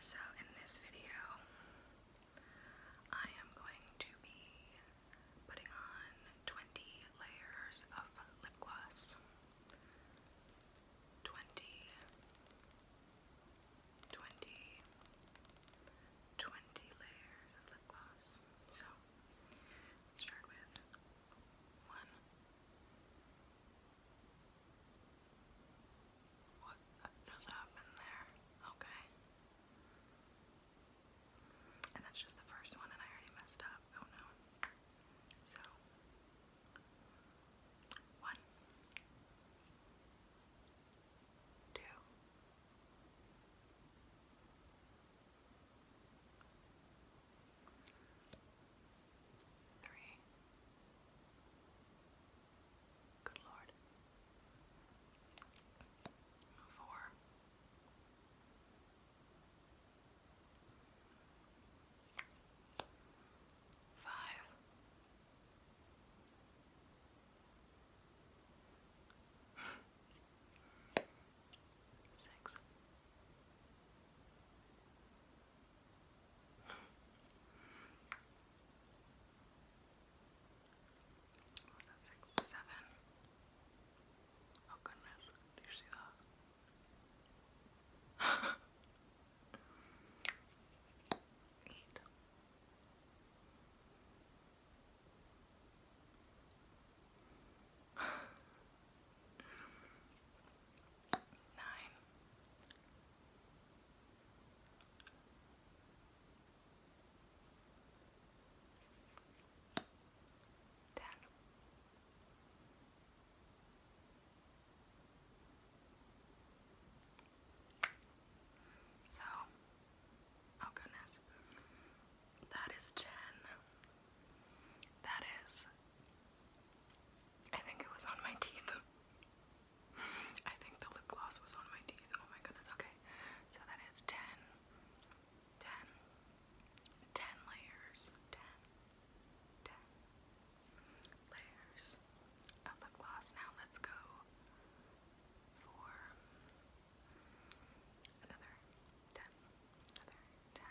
So, in this video, I am going to be putting on 20 layers of lip gloss. 20, 20, 20 layers of lip gloss. So, let's start with one. What just happened there? Okay. And that's just the first one, and I already messed up. Oh no. So. One. Two. Three. Good Lord. Four. Five six. Six, seven. Oh, goodness, you see that? Eight. Nine. Ten. So, oh goodness, that is ten. That is I think it was on my teeth. I think the lip gloss was on my teeth. Oh my goodness, okay. So that is 10, layers, 10, layers of lip gloss. Now let's go for another 10, another 10,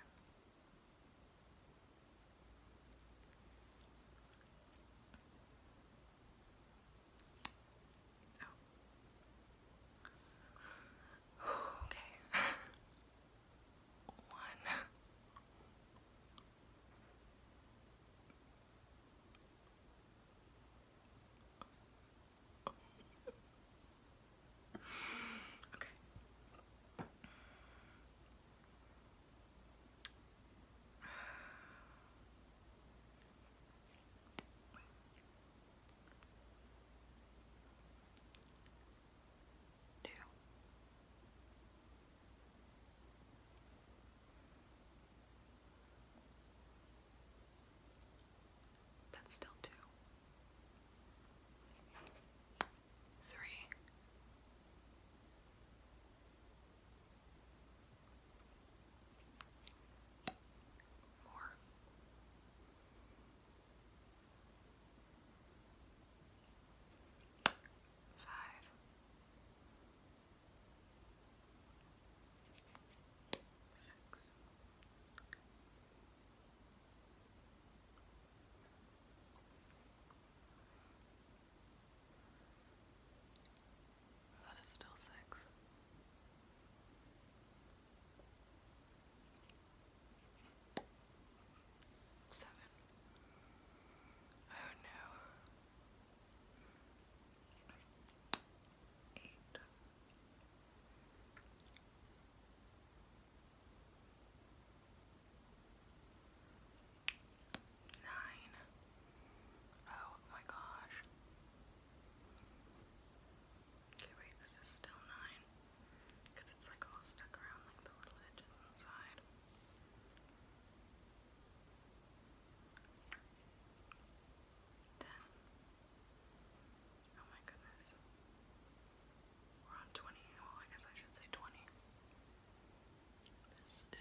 Oh. okay. One okay. Two. That's still two. Three. Four. Five. Six. That is still six. Seven. Oh no. Eight. Nine. Oh my gosh. Okay, wait, this is still nine. Because it's like all stuck around like the little edges inside. Ten. Oh my goodness. We're on 20. Well, I guess I should say 20. This is 20.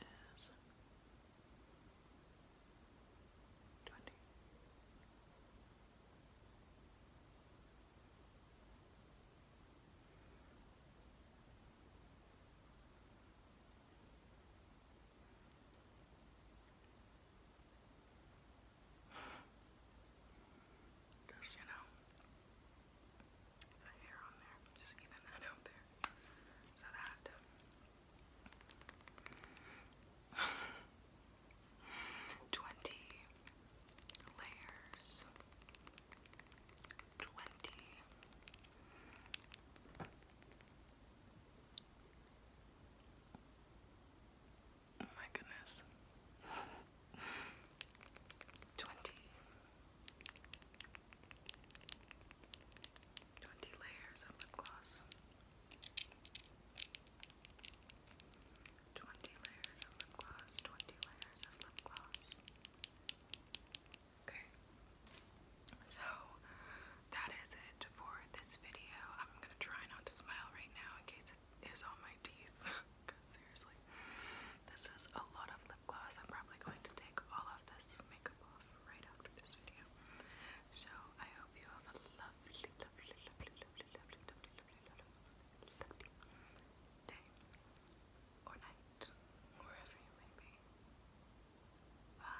Because, you know, there's hair on there. Just even that out there. So that. Uh, twenty layers. Twenty. Oh my goodness. 20 layers of lip gloss. 20 layers of lip gloss, 20 layers of lip gloss. Okay. So that is it for this video. I'm going to try not to smile right now in case is on my teeth. Cause seriously, this is a lot of lip gloss. I'm probably going to take all of this makeup off right after this video. So I hope you have a lovely, lovely, lovely, lovely, lovely, lovely, lovely, lovely, lovely day or night, wherever you may be. Bye.